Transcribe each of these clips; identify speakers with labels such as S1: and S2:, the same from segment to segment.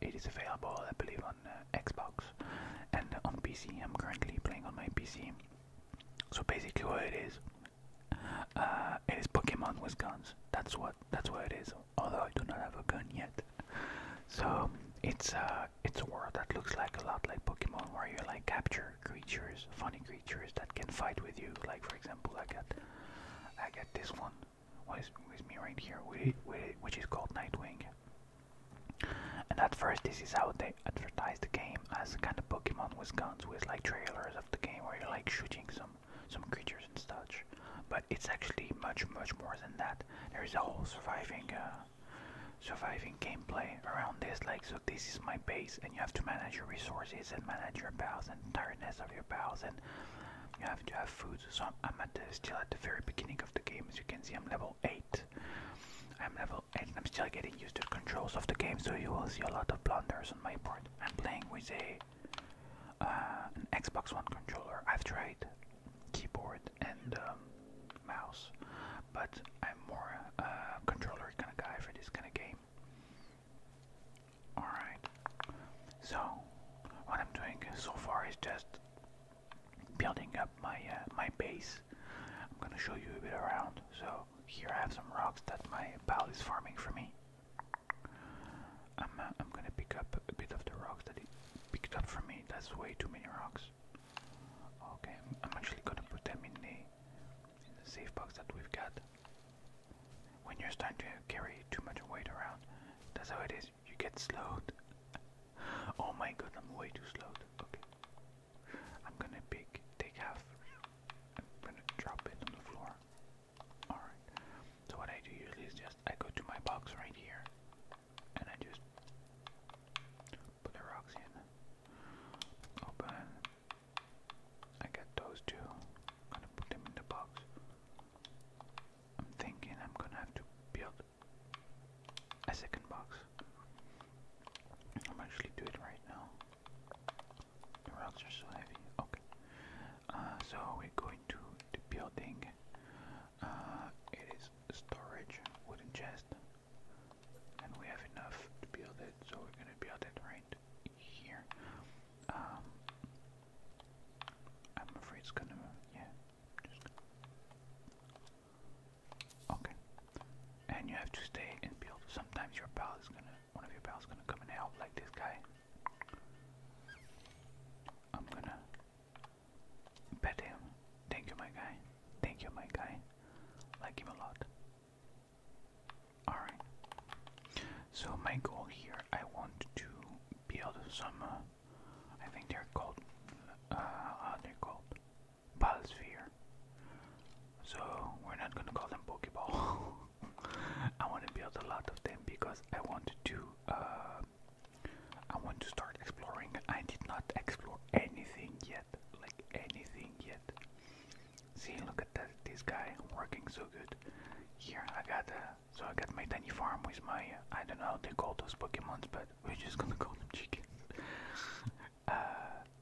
S1: it is available, I believe, on uh, Xbox and on PC. I'm currently playing on my PC. So basically, what it is, uh, it is Pokemon with guns. That's what that's what it is. Although I do not have a gun yet, so it's uh, it's a world that looks like a lot like Pokemon, where you like capture creatures, funny creatures that can fight with you. Like for example, I got I got this one. What is with me right here? Which is called Nightwing. And at first, this is how they advertise the game as kind of Pokemon with guns, with like trailers of the game where you're like shooting some some creatures and such. But it's actually much much more than that. There is a whole surviving uh, surviving gameplay around this. Like, so this is my base, and you have to manage your resources and manage your pals and tiredness of your pals, and you have to have food. So I'm, still at the very beginning of the game, as you can see. I'm level eight. I'm level 8 I'm still getting used to the controls of the game, so you will see a lot of blunders on my part. I'm playing with a uh, an Xbox One controller. I've tried keyboard and um, mouse, but I'm more a uh, controller kind of guy for this kind of game. Alright, so what I'm doing so far is just building up my uh, my base. I'm gonna show you a bit around. So here I have some rocks that my pal is farming for me. I'm uh, I'm gonna pick up a bit of the rocks that he picked up for me. That's way too many rocks. Okay, I'm, actually gonna put them in the safe box that we've got. When you're starting to carry too much weight around, that's how it is you get slowed. oh my god, I'm way too slowed. Okay. I'm gonna pick, take half, I'm gonna drop it on the floor. Alright. So what I do usually is just, I go to my box right here, and I just put the rocks in. Open. I got those 2 going gonna put them in the box. I'm thinking I'm gonna have to build a second box. I'm actually doing right now. The rocks are so heavy. Okay. Uh, so we're going to the building. Uh, it is storage, wooden chest, and we have enough to build it. So we're gonna build it right here. Um, I'm afraid it's gonna, yeah. Okay. And you have to stay and build. Sometimes your pal is gonna, one of your pals gonna come and help, like this guy. I'm gonna pet him. Thank you, my guy. Thank you, my guy. Like him a lot. Alright. So my goal here, I want to build some uh, I think they're called, uh, uh they're called Ballsphere. So we're not gonna call them Pokeball. I want to build a lot of them because I want to, uh, I want to start exploring. I did not explore anything yet, like anything yet. See, look at that, this guy working so good. Here I got, uh, so I got my tiny farm with my, I don't know, how they call those Pokemons, but we're just gonna call them chickens. Uh,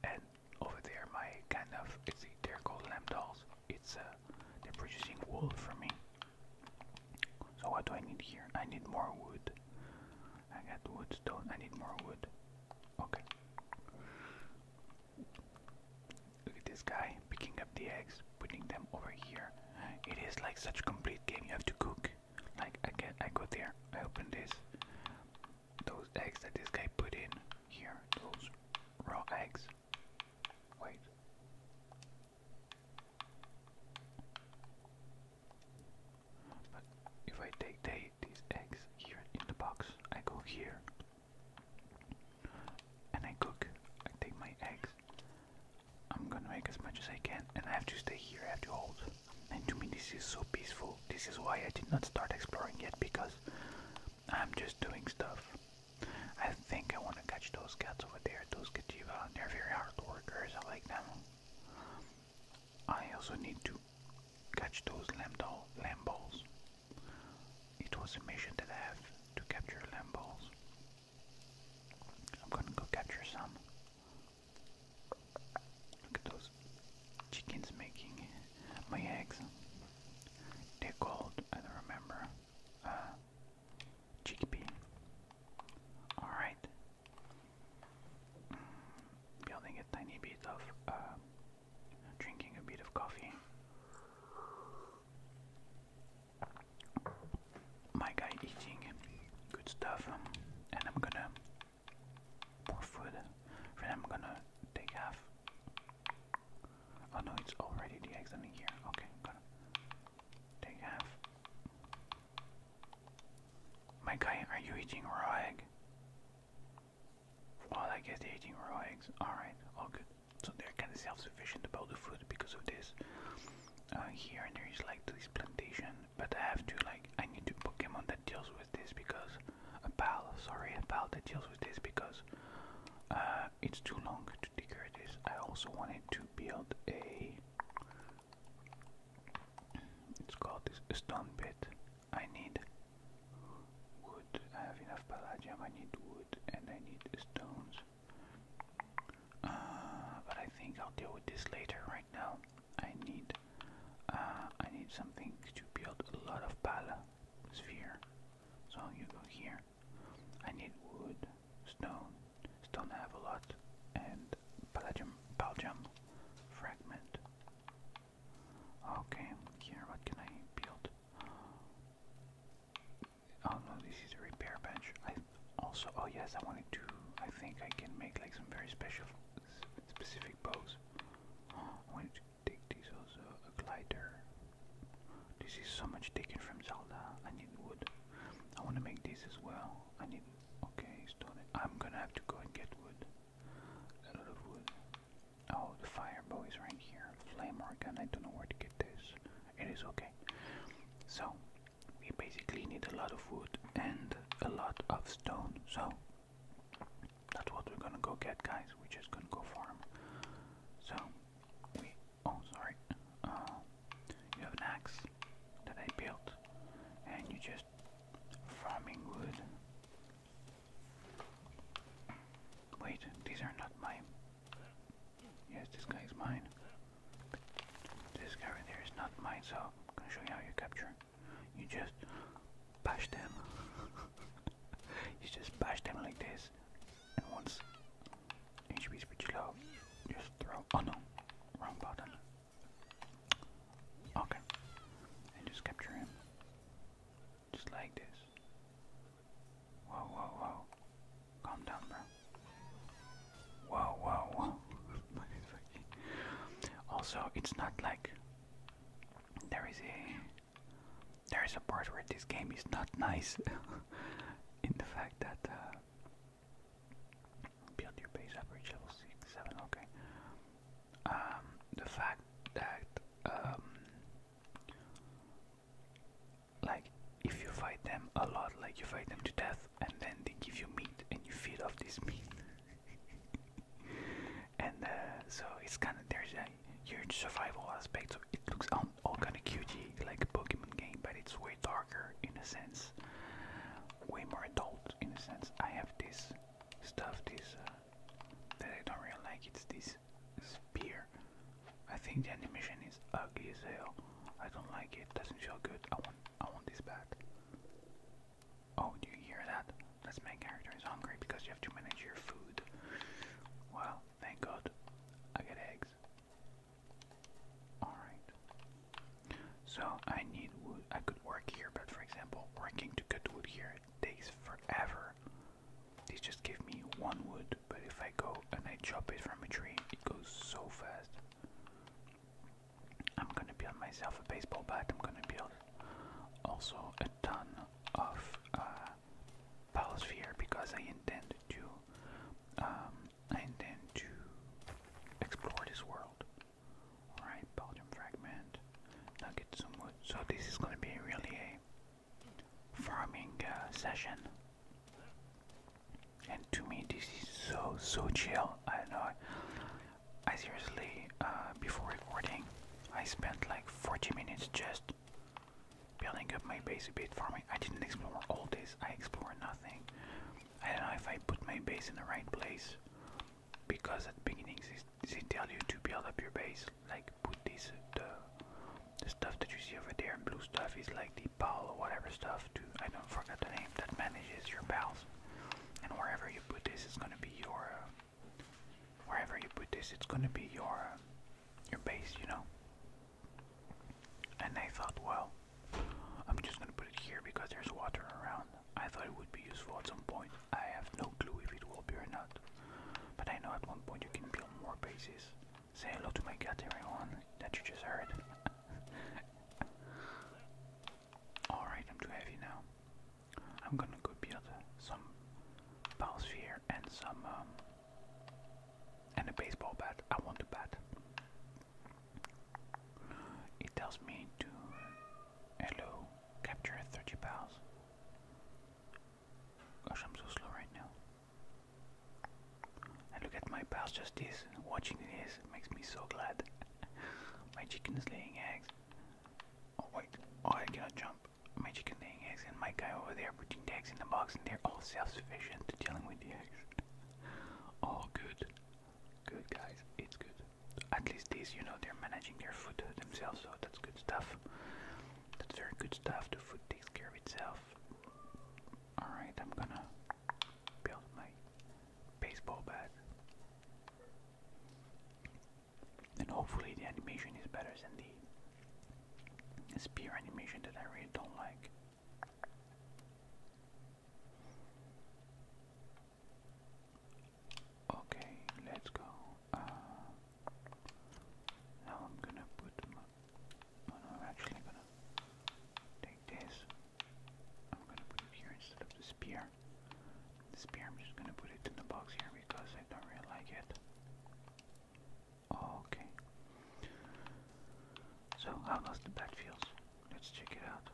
S1: and over there, my kind of they're called lamb dolls. It's uh, they're producing wool for me. So what do I need here? I need more wood. I got wood, I need more wood. Okay. Look at this guy picking up the eggs, putting them over here. It is like such a complete game. You have to cook. Like I get, I go there. I open this. Those eggs that this guy put in here. Those raw eggs. Wait. But if I take they, these eggs here in the box, I go here and I cook. I take my eggs, I'm gonna make as much as I can, and I have to stay here, I have to hold. And to me, this is so peaceful. This is why I did not start exploring yet, because I'm just doing stuff. I think I wanna catch those cats over there, those cativa. They're very hard workers, I like them. I also need to catch those lambdol, lamb It was a mission that I have to capture lamb I'm gonna go capture some. Look at those chickens making my eggs. They're called, I don't remember, uh, chickpea. Alright. Mm, building a tiny bit of, uh, drinking a bit of coffee my guy eating good stuff, um, and I'm gonna pour food. Then I'm gonna take half. Oh no, it's already the eggs in here. Okay, I'm gonna take half. My guy, are you eating raw egg? Well, I guess eating raw eggs. Alright, all good. So they're kind of self sufficient about the food because of this. Uh, here, and there is like this plantation but I have to like I need to Pokemon that deals with this because a pal, sorry, a pal that deals with this because uh, it's too long to declare this. I also wanted to build a it's called stone pit. I need wood. I have enough palladium. I need wood and I need stones. Uh, but I think I'll deal with this later. Right now, I need uh, I need something to build a lot of pala sphere. So you go here. I need wood, stone, stone have a lot, and palladium, palladium fragment. Okay, here what can I build? Oh no, this is a repair bench also, oh yes, I wanted to, I think I can make like some very special, specific bows. Oh, I wanted to take these also, a glider. This is so much taken from Zelda, I need wood. I want to make this as well, I need, okay, stone. I'm gonna have to go and get wood. A lot of wood. Oh, the fire bow is right here. Flame organ, I don't know where to get this. It is okay. So, we basically need a lot of wood and a lot of stone. So that's what we're gonna go get, guys. We're just gonna go farm. So we oh sorry, uh, you have an axe that I built, and you just farming wood. Wait, these are not mine. Yes, this guy's mine. This guy right here is not mine, so I'm gonna show you how you capture. You just bash them. you just bash them like this, and once HP is pretty low, just throw. Oh no, wrong button. Okay, and just capture him, just like this. Whoa, whoa, whoa! Calm down, bro. Wow, wow, also, it's not like there is a there is a part where this game is not nice in the fact that uh, build your base up, reach level six, seven. Okay. Um, the fact that um, like if you fight them a lot, like you fight them to death, and then they give you meat, and you feed off this meat. and uh, so it's kind of there's a huge survival aspect. So it looks all, kind of cutesy, like a Pokemon game, but it's way darker in a sense, way more adult in a sense. I have this stuff, this uh, that I don't really like. It's this spear. I think the animation is ugly as hell. I don't like it. Doesn't feel good. I want, I want this back. Oh, do you hear that? This main character is hungry because you have to manage your food. Well, thank God. I get eggs. Alright. So I need wood. I could work here, but for example, working to cut wood here takes forever. They just give me one wood, but if I go and I chop it from a tree, it goes so fast. I'm gonna build myself a baseball bat. I'm gonna build also a ton of uh, biosphere because I intend to um, intend to explore this world. All right, Belgium fragment. Now some wood. So this is gonna be really a farming uh, session and to me this is so so chill i don't know i seriously uh, before recording i spent like 40 minutes just building up my base a bit for me i didn't explore all this i explored nothing i don't know if i put my base in the right place because at the beginning they, they tell you to build up your base like put this the the stuff that you see over there blue stuff is like the pal or whatever stuff to i don't forget the name that manages your pals and wherever you put this, it's gonna be your uh, wherever you put this, it's gonna be your uh, your base, you know. And I thought, well, I'm just gonna put it here because there's water around. I thought it would be useful at some point. I have no clue if it will be or not, but I know at one point you can build more bases. Say hello to my cat, everyone that you just heard. Alright, I'm too heavy now. I'm gonna go build some balls here and some um, and a baseball bat. I want a bat. It tells me to hello capture 30 balls. Gosh, I'm so slow right now. And look at my pals just this watching this makes me so glad. My chicken is laying eggs. Oh wait, oh I cannot jump. My chicken laying eggs and my guy over there putting eggs in the box and they're all self-sufficient to dealing with the eggs. all oh, good. Good guys, it's good. At least these, you know, they're managing their food themselves, so that's good stuff. That's very good stuff. The food takes care of itself. Alright, I'm gonna build my baseball bat. And hopefully the animation is better than the spear animation that I really don't like. Okay, let's go. Uh, now I'm gonna put oh I'm actually gonna this. I'm gonna put here instead of the spear. The spear, I'm just gonna put it in the box here because I don't really like it. Okay. So, how does the bat feels? Let's check it out.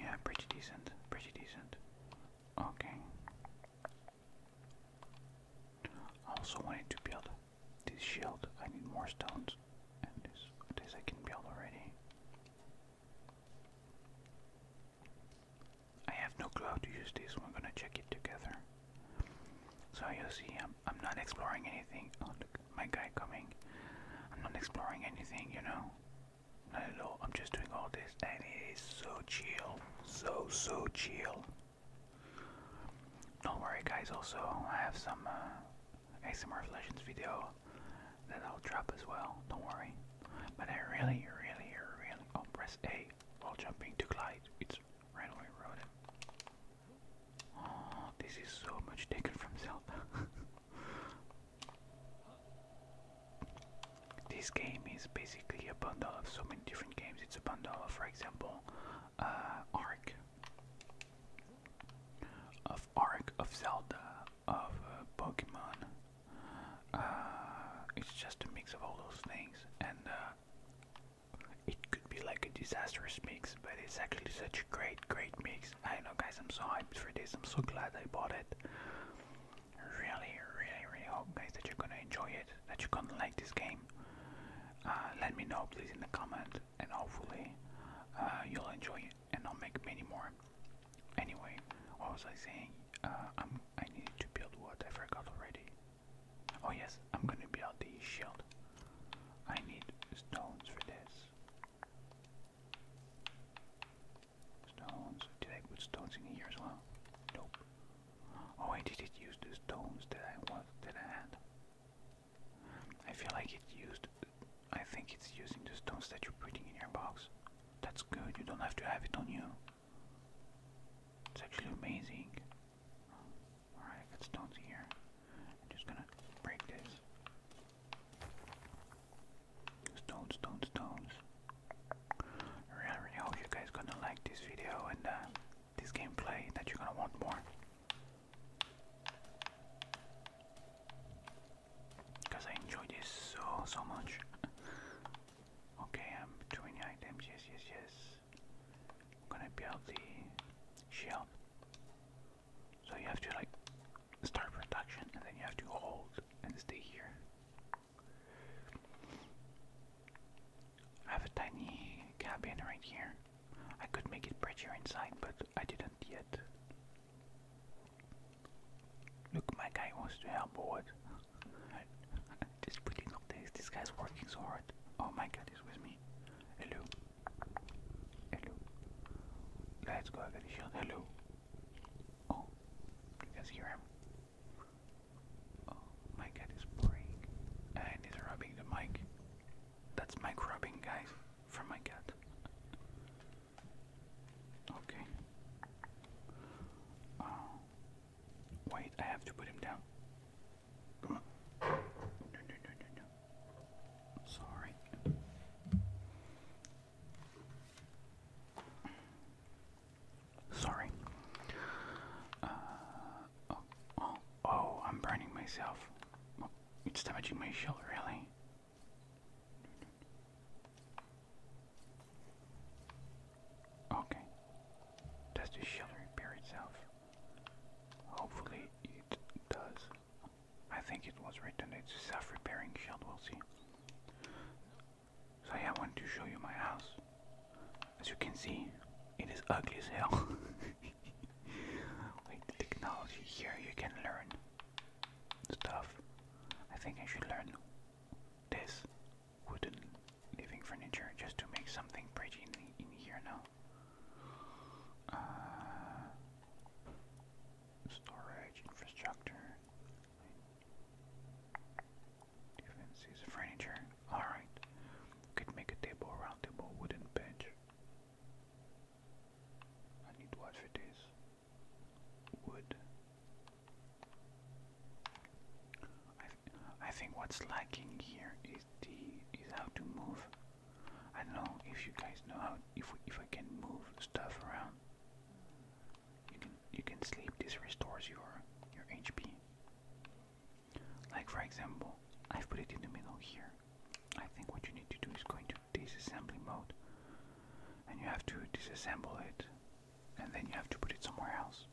S1: Yeah, pretty decent, pretty decent. Okay. also wanted to build this shield, I need more stones. And this, this I can build already. I have no clue how to use this, we're gonna check it together. So you see, I'm, I'm not exploring anything. Oh, look, my guy coming. I'm not exploring anything, you know? Not at all, I'm just doing all this and it is so chill. So, so chill. Don't worry guys, also I have some uh, ASMR of video that I'll drop as well. Don't worry. But I really, really, really. Oh, press A while jumping to glide. It's right away Oh, this is so much different from Zelda. this game is basically a bundle of so many different games. It's a bundle of, for example, uh, Ark, of Ark, of Zelda, of uh, Pokemon. Uh, it's just a mix of all those things, and uh, it could be like a disastrous mix, but it's actually such a great, great mix. I know, guys, I'm so hyped for this. I'm so glad I bought it. Really, really, really hope, guys, that you're gonna enjoy it, that you're gonna like this game. let me know, please, in the comment, and hopefully, uh, you'll enjoy it, and I'll make many more. Anyway, what was I saying? Uh, I'm I need to build what I forgot already. Oh yes, I'm gonna build the shield. I need stones for this. Stones. Did I put stones in here as well? Nope. Oh, I didn't use the stones that I was that I had. I feel like it used. I think it's using the stones that you're putting in your box. That's good, you don't have to have it on you. It's actually amazing. Alright, got stones here. I'm just gonna break this. Stones, stones, stones. I really hope you guys gonna like this video and uh, this gameplay that you're gonna want more. Because I enjoy this so, so much. okay, I'm doing items, yes, yes, yes. I'm gonna build the shield. So you have to like start production and then you have to hold and stay here. I have a tiny cabin right here. I could make it prettier inside, but I didn't yet. Look, my guy wants to help board. Just putting up this. This guy's working so hard. Oh, my god, he's with me. Hello. Hello. Let's go. I the shield. Hello. Oh, you guys hear him? Oh, my god, he's boring. And he's rubbing the mic. That's mic rubbing, guys from my cat. Okay. Uh, wait, I have to put him down. Come on. No, no, no, no, no. Sorry. Sorry. oh, oh, oh, I'm burning myself. It's damaging my shell, really. Okay. Does the shell repair itself? Hopefully it does. I think it was written it's a self-repairing shell, we'll see. So I want to show you my house. As you can see, it is ugly as hell. With technology here you can learn stuff. I think I should learn this wooden living furniture just to make something pretty in, here now. Uh, storage, infrastructure, defenses, furniture. Alright, could make a table, round table, wooden bench. I need to watch for Wood. I, I think what's lacking here is the is how to move. I don't know if you guys know how if we, if I can move stuff around. You can you can sleep. This restores your your HP. Like for example, I've put it in the middle here. I think what you need to do is go into disassembly mode and you have to disassemble it and then you have to put it somewhere else.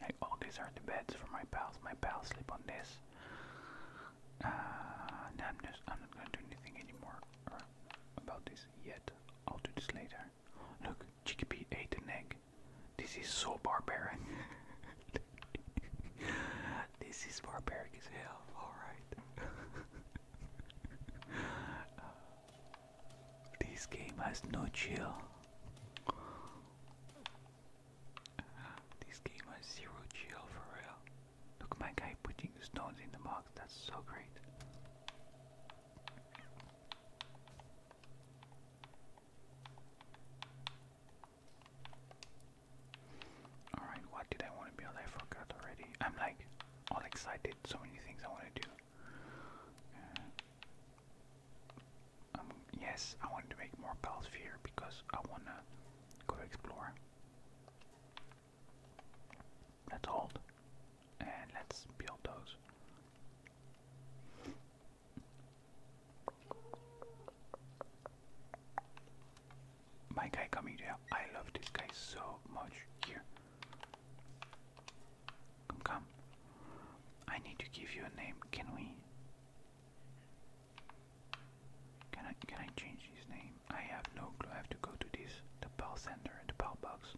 S1: Like, these are the beds for my pals. My pals sleep on this. Uh, I'm not gonna do anything anymore uh, about this yet. I'll do this later. Look, Chickpea ate an egg. This is so barbaric. this is barbaric as hell. Alright. this game has no chill. this game has zero chill for real. Look my guy putting the stones in the box, that's so great. Alright, what did I want to build? I forgot already. I'm like all excited, so many things I want to do. Uh, um, yes, I wanted to make more Palsphere because I want to go explore. Let's hold and let's build those. My guy coming here. I love this guy so much here. Come, come. I need to give you a name. Can we? Can I? Can I change his name? I have no clue. I have to go to this, the power center, the power box.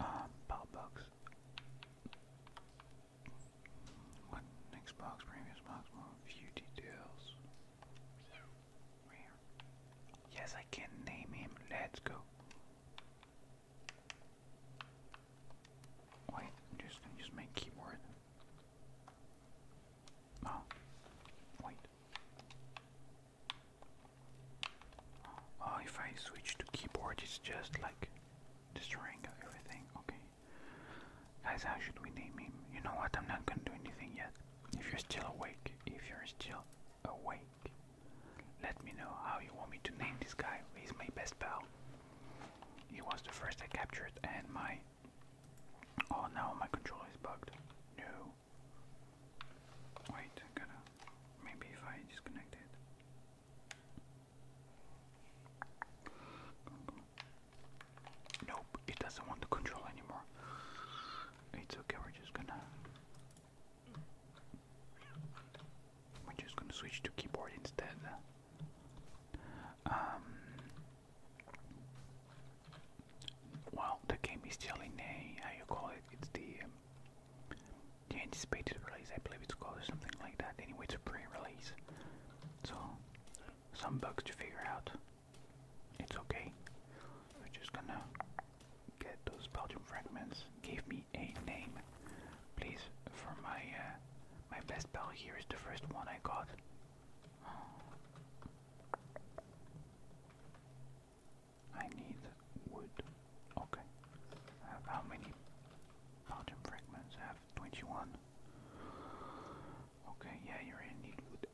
S1: Um, uh, power box. What next Previous box. More few details. Where? Yes, I can name him. Let's go. Wait, I'm just gonna use my keyboard. Oh, wait. Oh, if I switch to keyboard, it's just like destroying everything. Okay. Guys, how should we name him? You know what? I'm not gonna do anything yet. If you're still awake, if you're still awake, let me know how you want me to name this guy. He's my best pal. He was the first I captured, and my. Oh, now my controller is bugged. No. Wait, I gotta. Maybe if I disconnect it. Nope, it doesn't want to control anymore. It's okay, we're just gonna We're just gonna switch to keyboard instead. Um Well the game is still in a how you call it, it's the um, the anticipated release, I believe it's called something like that. Anyway it's a pre-release. So some bugs to figure out. It's okay. We're just gonna get those Belgian fragments. Give me a name, please, for my uh, my best bell. Here is the first one I got. I need wood. Okay. I have how many Belgium fragments? I have 21. Okay, yeah, you're in need wood.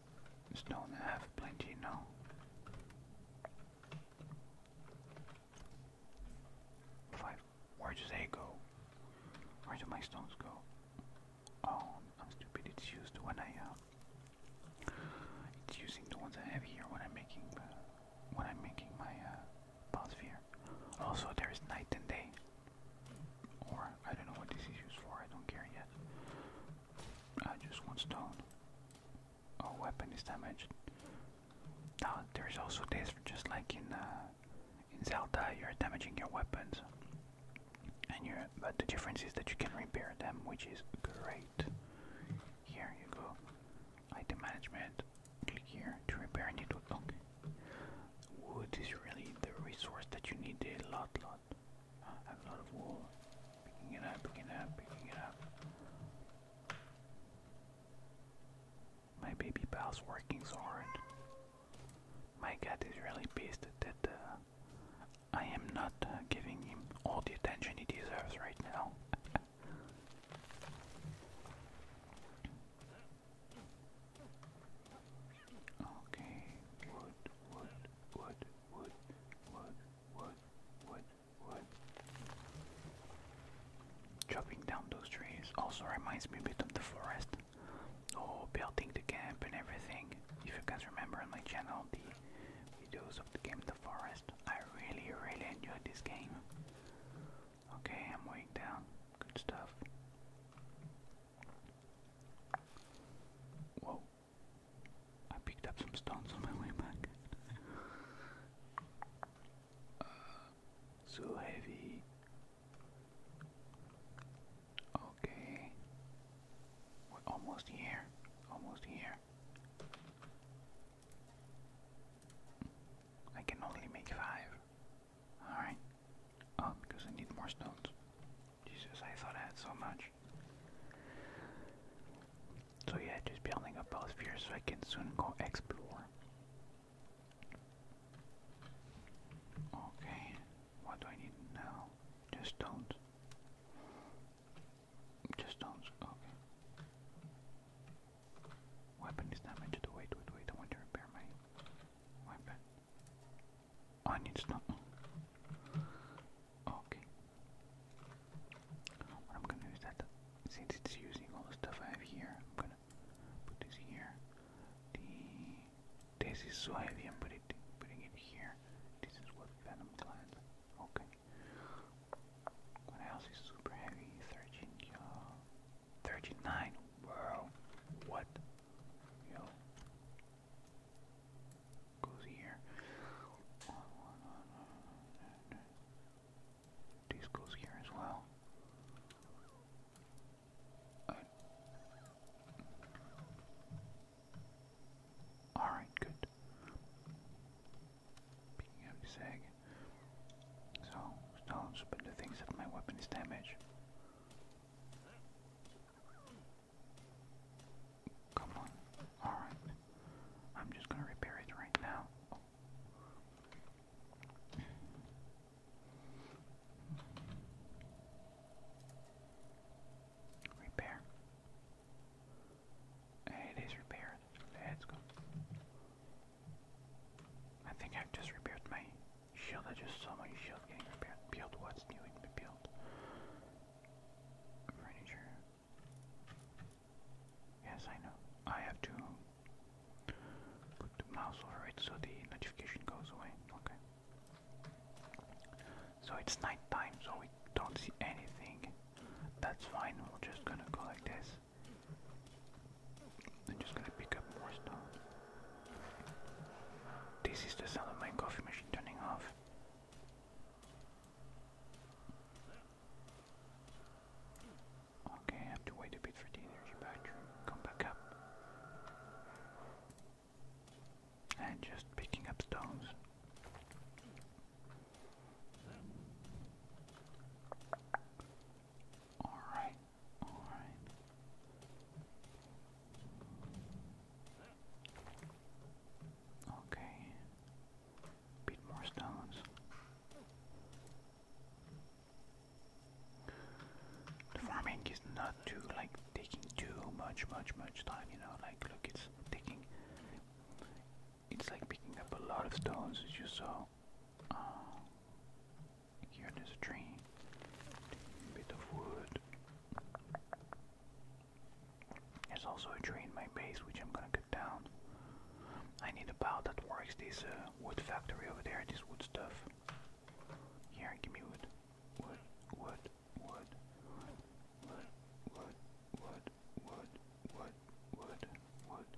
S1: Stone I have plenty now. Five. Where do they go? Where do my stones go? Oh, I'm stupid. It's used when uh, using the ones I have here when I'm making uh, when I'm making my uh, Also, there is night and day. Or, I don't know what this is used for, I don't care yet. Uh, just one stone. Oh, weapon is damaged. Now, there's also this, just like in uh, in Zelda, you're damaging your weapons. and you But the difference is that you can repair them, which is great. Here you go. Item management. Click here to repair. I Wood is really the resource that you need a lot, lot. I have a lot of wool. Picking it up, picking it up, picking it up. My baby pal's working so hard. My cat is really pissed that uh, I am not uh, giving him all the attention he deserves right now. Okay, wood, wood, wood, wood, wood, wood, wood, wood. Chopping down those trees also reminds me a bit of the forest. Oh, building the camp and everything. If you guys remember on my channel the videos of the game The Forest, I really, really enjoyed this game. Okay, I'm weighing down. Good stuff. Whoa. I picked up some stones on my way back. so heavy. Okay. almost here. Almost here. I can only make five. Alright. Oh, um, because I need more stones. Jesus, I thought I had so much. So yeah, just building up both spheres so I can soon go explore. Okay, what do I need now? Just stones. Just stones, okay. Weapon is damaged. Wait, wait, wait, I want to repair my I need to know. Okay. I'm gonna do that since it's using all the stuff I have here, I'm gonna put this here. The this is so heavy, I'm putting it, putting it here. This is what Venom gland. Okay. What else is super heavy? 39. Wow. What? Yo. Goes here. One, one, one, one, goes here as well. Alright, good. Picking up sag. So, stones, but the things that my weapon is damaged. Come on. Alright. I'm just gonna repair it right now. Repair. It is repaired. Let's go. I think I've just repaired my Shield, I just saw my shield getting repaired. Build what's new in the build. Furniture. Yes, I know. I have to put the mouse over it so the notification goes away. Okay. So it's night so we don't see anything. That's fine, we're just gonna go like this. I'm just gonna pick up more stuff. This is the sound of my coffee machine turning off. Okay, I have to wait a bit for the energy battery. Come back up. And just picking up stones. Alright. All right. Okay. Beat more stones. farming is not too like taking too much much much time, you know, like look it's taking it's like picking up a lot of stones as you saw. Uh, here in this tree. Bit of wood. There's also a tree in my base which I'm gonna cut down. I need a bow that works this uh, wood factory over there, this wood stuff. Here, give me wood. Wood, wood, wood, wood, wood, wood, wood, wood, wood, wood.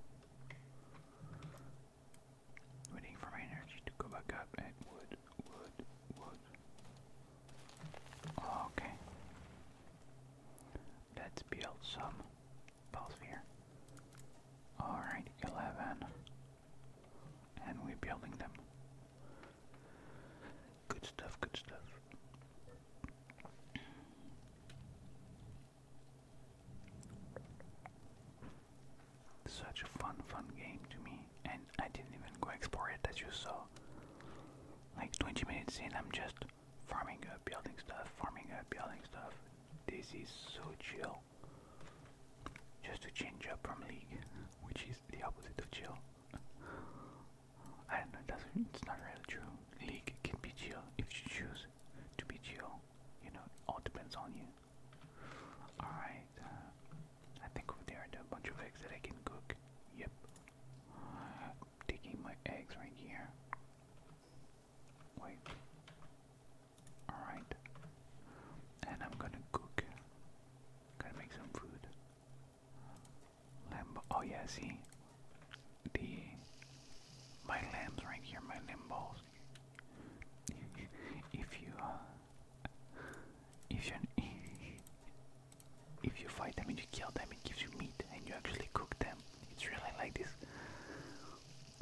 S1: Waiting for my energy to go back up wood. Okay. Let's build some both Alright, 11. And we're building them. Good stuff, good stuff. Such a fun, fun game to me, and I didn't even go explore it as you saw. Like 20 minutes in, I'm just farming up, building stuff, farming up, building stuff. This is so chill. Just to change up from League, which is the opposite of chill. I don't know, it's not really true. League can be chill if you choose to be chill. You know, it all depends on you. Alright. Uh, I think over there are a bunch of eggs that I can cook. Yep. Uh, taking my eggs right here. Wait. Alright. And I'm gonna cook. Gotta make some food. Lamb. Oh, yeah, see? The. My lambs right here, my limb balls. if you uh, if you if you fight them and you kill them, it gives you meat, and you actually cook them. It's really like this.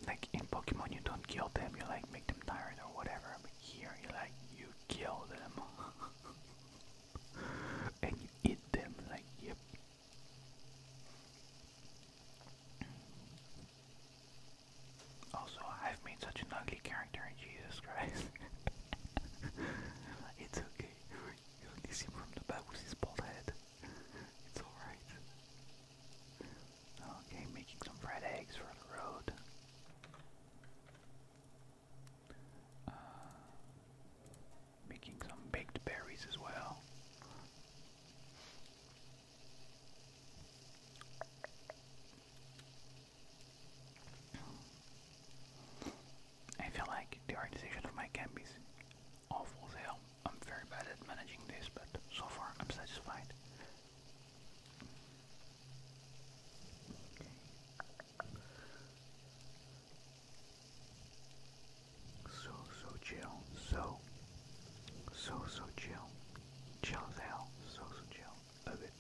S1: Like in Pokemon, you don't kill them; you like make them tired or whatever. But here, you like you kill them. and you eat them like yep also, I've made such an ugly character in Jesus Christ. it's okay. You only see from the back with his bald head. It's alright. Okay, making some fried eggs for the road. Uh, making some baked berries as well. I feel like the organization of my camp is awful as hell. I'm very bad at managing this, but so far I'm satisfied. So, so chill. So, so, so chill. Chill as hell. So, so chill. a bit.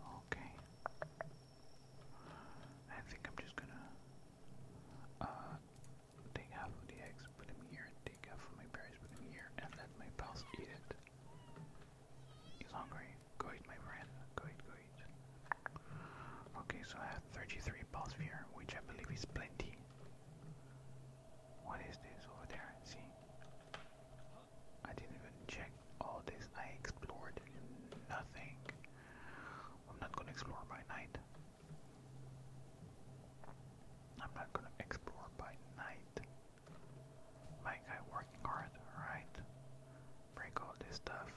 S1: Okay. I think I'm just gonna uh, take half of the eggs, put them here, take half of my berries, put them here, and let my pals eat it. He's hungry. Go eat, my friend. Go eat, go eat. Okay, so I have 33 balls here, which I believe is plenty. What is this over there? See? I didn't even check all this. I explored nothing. I'm not gonna explore by night. I'm not gonna explore by night. My guy working hard, right? Break all this stuff.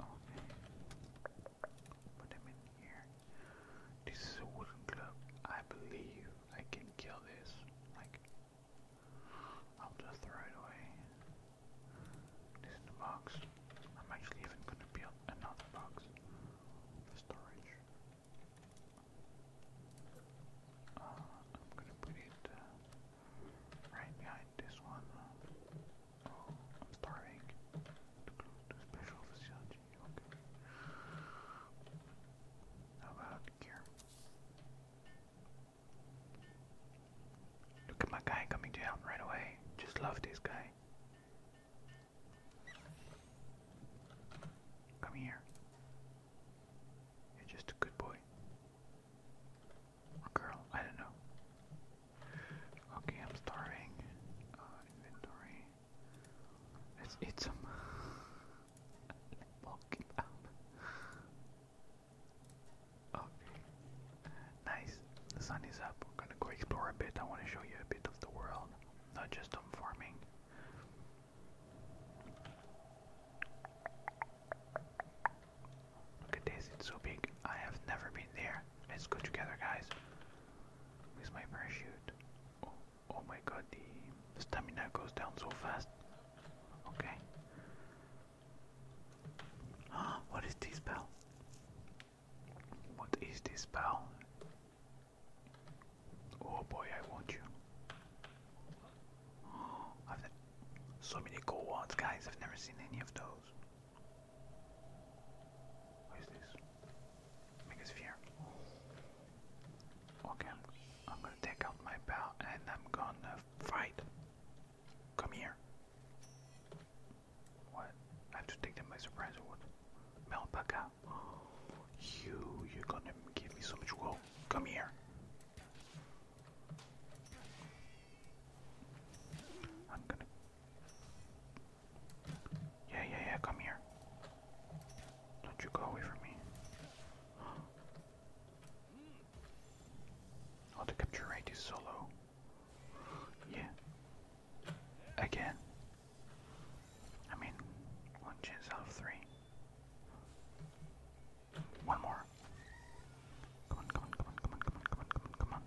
S1: Okay. Put him in here. This is a wooden club. I believe I can kill this. Like, I'll just throw it away. This is the box. I'm actually even gonna build another box for storage. Uh, I'm gonna put it uh, right behind this one. I'm starving. special facility, okay. How about here? Look at my guy coming down right away. Just love this guy. Come here. You're just a good boy. Or girl, I don't know. Okay, I'm starving. Uh, inventory. Let's eat some. Walk up. Okay. Nice. The sun is up. We're gonna go explore a bit. I wanna show you a bit of the world, not just on farming. Look at this, it's so big. I have never been there. Let's go together, guys. With my parachute. Oh, oh, my god, the stamina goes down so fast. Okay. Ah, what is this spell? What is this spell? Oh boy, I want you. Oh, I've so many cool ones, guys. I've never seen any of those. What is this? Make a sphere. Okay, I'm, gonna take out my bow and I'm gonna fight. Come here. What? I have to take them by surprise or what? Melpaka. You, you're gonna give me so much woe. Come here. I'm gonna yeah, yeah, yeah, come here. Don't you go away from me. Oh, the capture rate is so Yeah. Again. I mean, one chance out of three. One more. come on, come on, come on, come on, come on, come on, come on.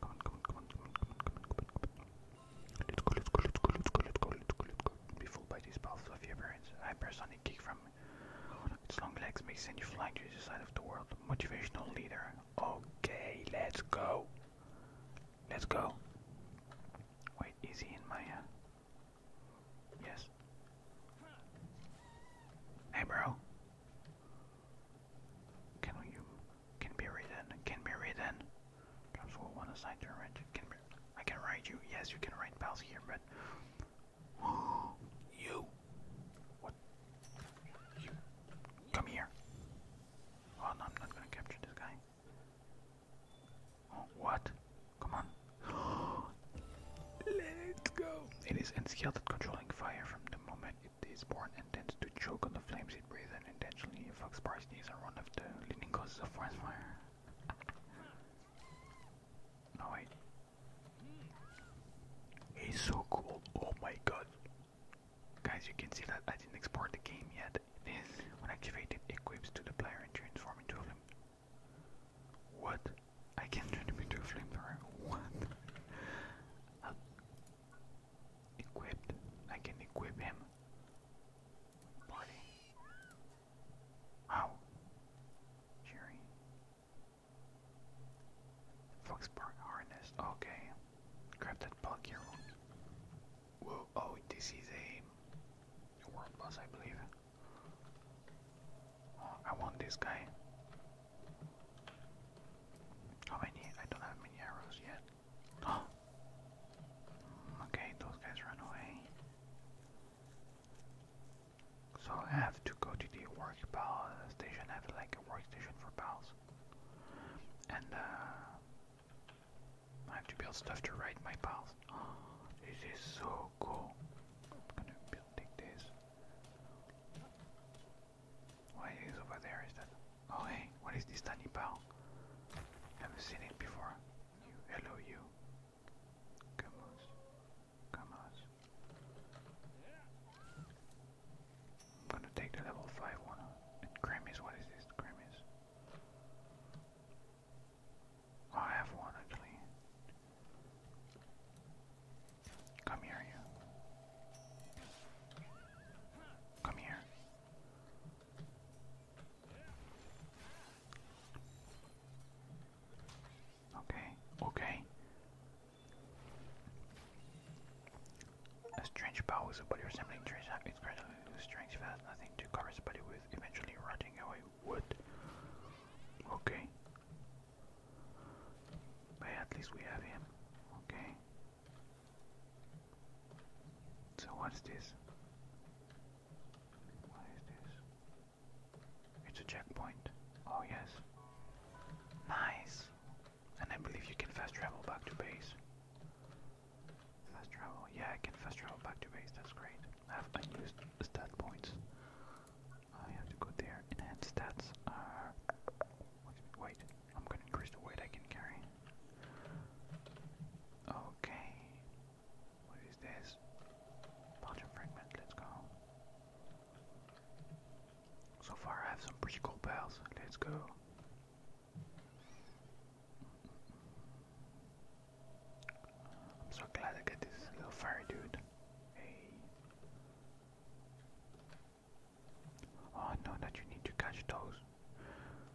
S1: Come on, come on, come on, come on, come on, come on, come on, come on. Let's go, let's go, let's go, let's go, let's go, let's go, let's go. Be fooled by these balls of your parents. Hypersonic kick from its long legs may send you flying to the side of the world. Motivational leader. Okay, let's go. Let's go. Wait, is he in my uh Yes. Hey bro. Can we can be written. Can be written. Comes will one aside to write. Can be. I can write you. Yes, you can write pals here, but you. What? You. Come here. Oh no, I'm not gonna capture this guy. Oh, what? Come on. Let's go. It is unskilled at controlling fire from the moment it is born and tends to choke on the flames it breathes and intentionally affects parties are and of after, leading causes of forest fire. wait. He's so cool. Oh my god. Guys, you can see that I didn't export the game yet. This, when activated, equips to the player and transforms into a flame. What? I can turn him into a flamethrower? What? Equipped. I can equip him. Party. Wow. Jerry. Fox Park harness. Okay. Grab that bug Whoa. Oh, this is a world boss, I believe. Oh, I want this guy. How oh, many? I don't have many arrows yet. Oh. Okay, those guys run away. So I have to go to the work pal station. have like a workstation for pals. And uh, I have to build stuff to ride my pals. this is so cool. I'm gonna build, take this. What is over there? Is that? Oh hey, what is this tiny pal? Haven't seen it before. hello you. Come on, come on. I'm gonna take the level five one. And what is this? Grammys. Oh, I have one actually. Come here, you. Come here. Okay, okay. A strange power somebody resembling trees have its gradually lose strength fast, nothing to cover somebody with, eventually rotting away wood. Okay. But at least we have him. Okay. So what's this? What is this? It's a checkpoint. Oh yes. Nice. And I believe you can fast travel back to base. Fast travel. Yeah, I can fast travel back to base. That's great. I have unused stat points. I have to go there. Enhanced stats are. Wait. I'm gonna increase the weight I can carry. Okay. What is this? Bunch of let's go. So far I have some pretty cool bells. Let's go. I'm so glad I got this little fire dude. Hey. Oh, I know that you need to catch those.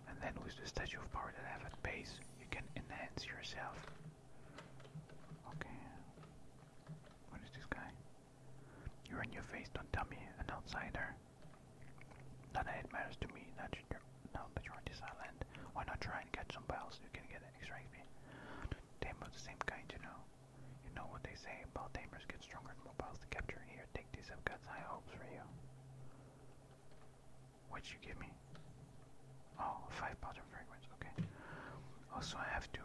S1: And then with the Statue of Power that I have at base, you can enhance yourself. Okay. What is this guy? You're in your face, don't tell me, an outsider. Not that it matters to me that you're, now that you're on this island. Why not try and catch some bells? You can get an extra XP. They're the same kind, you know. You know what they say about tamers get stronger and mobiles to capture. Here, take these. I've high hopes for you. What'd you give me? Oh, five powder fragrance. Okay. Also, I have to.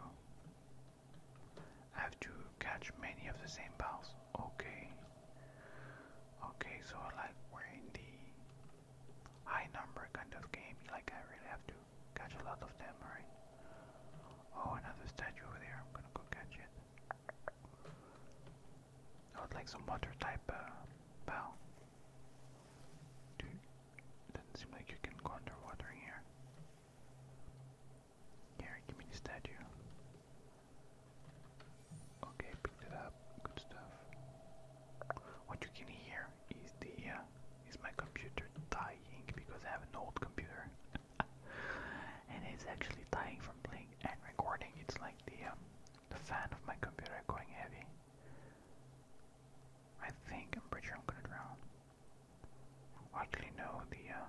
S1: I have to catch many of the same balls. Okay. Okay, so like we're in the high number kind of game. Like I really have to catch a lot of them, right? Oh, another statue over there. I'm gonna go catch it. I would like some water type uh, bow. Do doesn't seem like you can go underwater here. Here, give me the statue. Okay, picked it up. Good stuff. What you can hear is the uh, is my computer dying because I have an old computer. and it's actually dying from playing and recording. It's like um, the fan of my computer going heavy. I think I'm pretty sure I'm gonna drown. Oddly, no, the uh,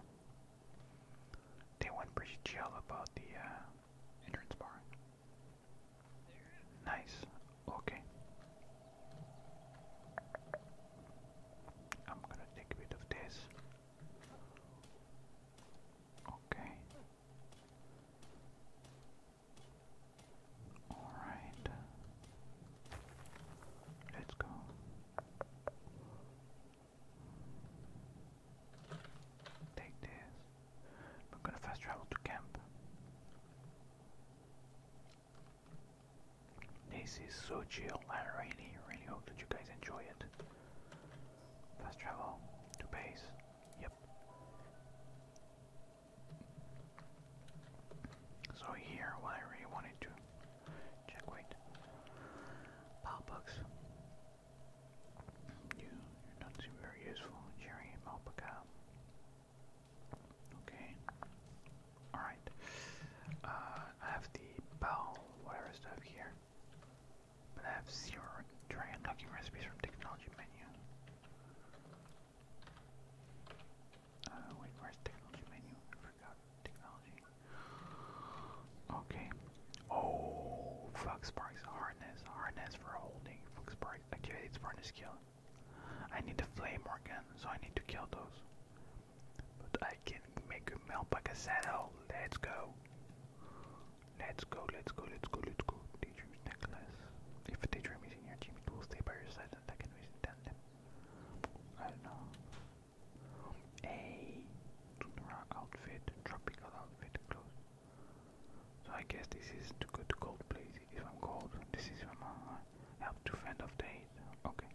S1: they went pretty chill about the uh, entrance bar. Nice. Okay. I'm gonna take a bit of this. Okay. All right. Let's go. Take this. We're gonna fast travel to camp. This is so chill. I really, really hope that you guys enjoy it. Fast travel to base. Yep. So here, what I really wanted to check weight. Palpucks. You, you're not seem very useful. Jerry and Malpaca. Okay. Alright. Uh, I have the bow, whatever stuff here. But I have zero try unlocking recipes from technology menu. Uh, wait, where's technology menu? I forgot technology. Okay. Oh, Fox Sparks harness, harness for holding. Fox Sparks activates furnace skill. I need the flame organ, so I need to kill those. But I can make a Melpaca saddle. Let's go. Let's go, let's go, let's go, let's go. Daydream's necklace. If a daydream is in your team, it will stay by your side and I can always intend them. I don't know. A Tunara outfit, tropical outfit, clothes. So I guess this is to go to cold place. If I'm cold, this is when uh, I have to fend off the heat. Okay.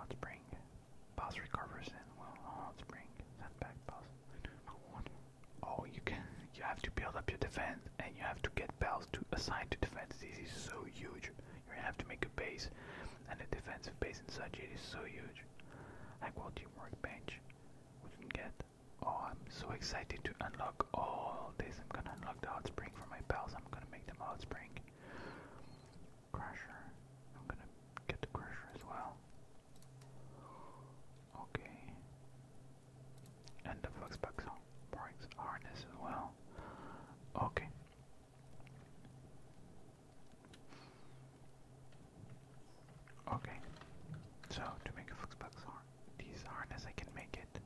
S1: Hot spring. Boss recovers in well hot uh, spring. Send back boss. Oh, you can. You have to build up your defense, and you have to get bells to assign to defense. This is so huge. You have to make a base, and a defensive base and such. It is so huge. Like what team workbench we can get. Oh, I'm so excited to unlock all this. I'm gonna unlock the hot spring for my bells. I'm gonna make them hot spring. Crusher. I'm gonna get the Crusher as well. Okay. And the Fluxbox Borg's harness as well. Okay. Okay. So to make a Fluxbox harness, harness I can make it.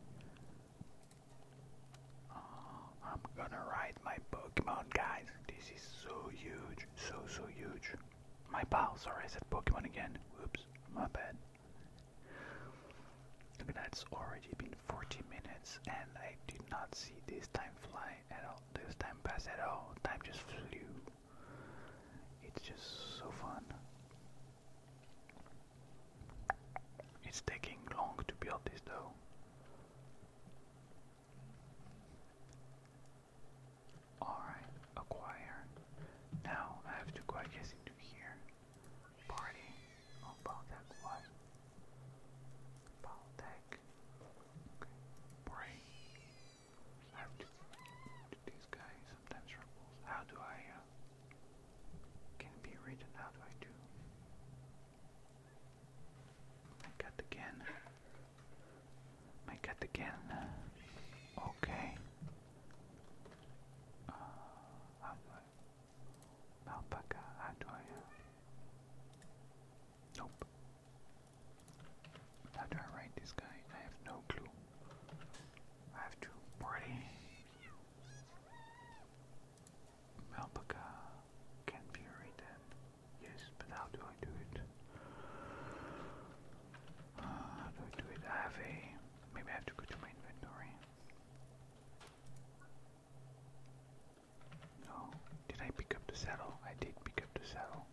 S1: Oh, I'm gonna ride my Pokemon, guys. This is so huge, so so huge. My pal, sorry, I said Pokemon again. Oops, my bad. Look, that's already been 40 minutes, and I did not see this time fly at all. This time pass at all. Time just flew. It's just so fun. It's taking long to build this though. Alright, acquire. Now I have to go, I guess, into here. Party. Oh, Baltec, what? Baltec. Okay, pray. I have to. These guys sometimes rebels. How do I. Uh, can be written? How do I do? My cat again. My cat again. Okay. Uh, how do I? Alpaca, how do I? Uh, nope. How do I write this guy? I have no clue. I have to party. Malpaca can be written. Yes, but how do I do it? Uh, how do I do it? I have a. Maybe I have to go to my inventory. No. Did I pick up the saddle? I did pick up the saddle.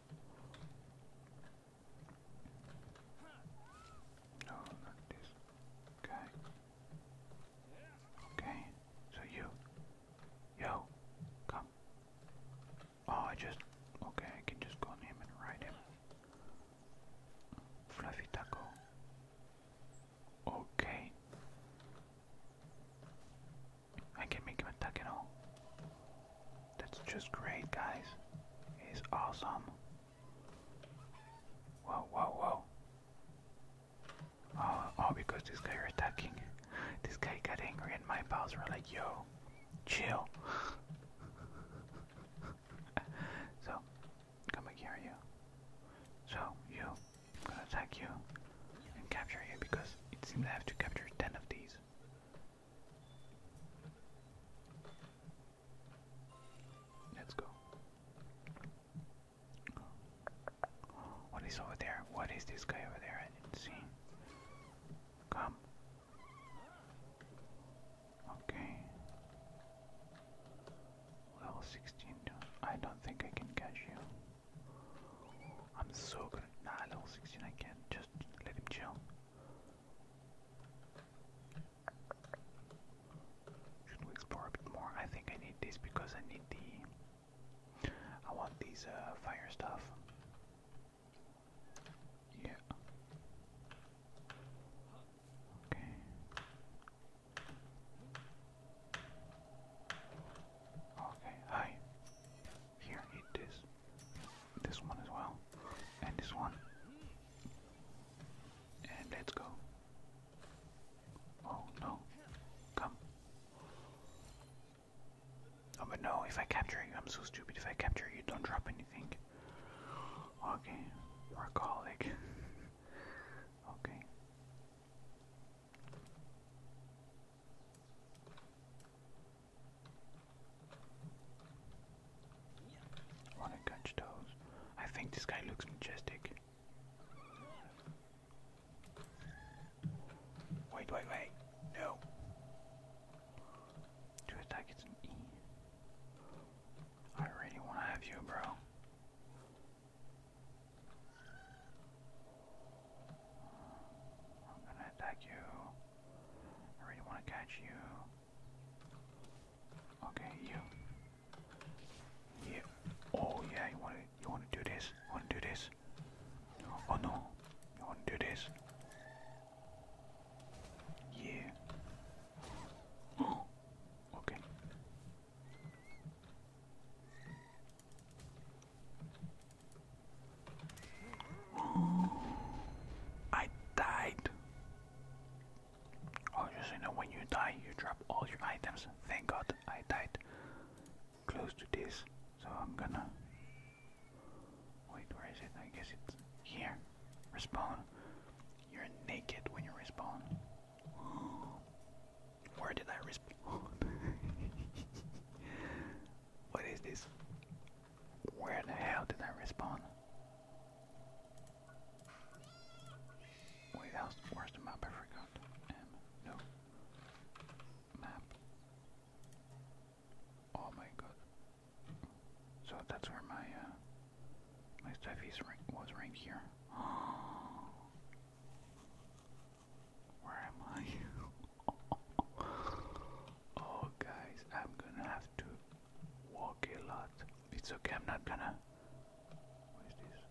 S1: No, not this guy. Okay, so you. Yo, come. Oh, I just. Okay, I can just go on and ride him. Fluffy taco. Okay. I can make him a taco. That's just great, guys. He's awesome. Whoa, whoa, whoa. Oh, oh, because this guy are attacking. This guy got angry, and my pals were like, "Yo, chill." so, come here, you. So you, I'm gonna attack you and capture you because it seems I have to capture ten of these. Let's go. What is over there? What is this guy over there? I didn't see. Come. Okay. Level 16. I don't think I can catch you. I'm so good. Nah, level 16 I can't. Just let him chill. Should we explore a bit more? I think I need this because I need the I want these uh, fire stuff. Yeah. Okay. Okay, hi. Here, eat this. This one as well. And this one. And let's go. Oh no. Come. Oh, but no, if I capture you, I'm so stupid. If I capture you, don't drop anything. Okay, you're a okay. Wanna catch those? I think this guy looks majestic. Wait, wait, wait. No. To attack, it's E. I really want to have you, bro. I'm gonna attack you. I really want to catch you. Okay, you. You. Oh yeah, you want to. You want to do this? Want to do this? Oh no, you want to do this? Yeah. Oh, okay. I died. Oh, you know, when you die, you drop all your items. Thank God I died close to this, so I'm gonna. Wait, where is it? I guess it's here. Respond. You're naked when you respond. Where did I respond? what is this? Where the hell did I respond? Wait, how's where's the map? I forgot. Um, no map. Oh my god. So that's where my uh, my stuff is was right here. Where am I? oh guys, I'm gonna have to walk a lot. It's okay, I'm not gonna. What is this?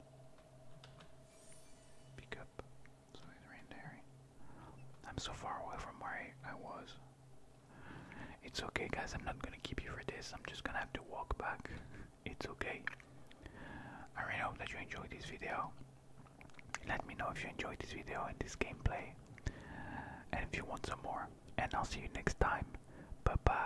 S1: Pick so he's Randary. I'm so far away from where I, I was. It's okay, guys. I'm not gonna keep you for this. I'm just gonna have to walk back. It's okay. I really hope that you enjoyed this video. Let me know if you enjoyed this video and this gameplay. And if you want some more. And I'll see you next time. Bye bye.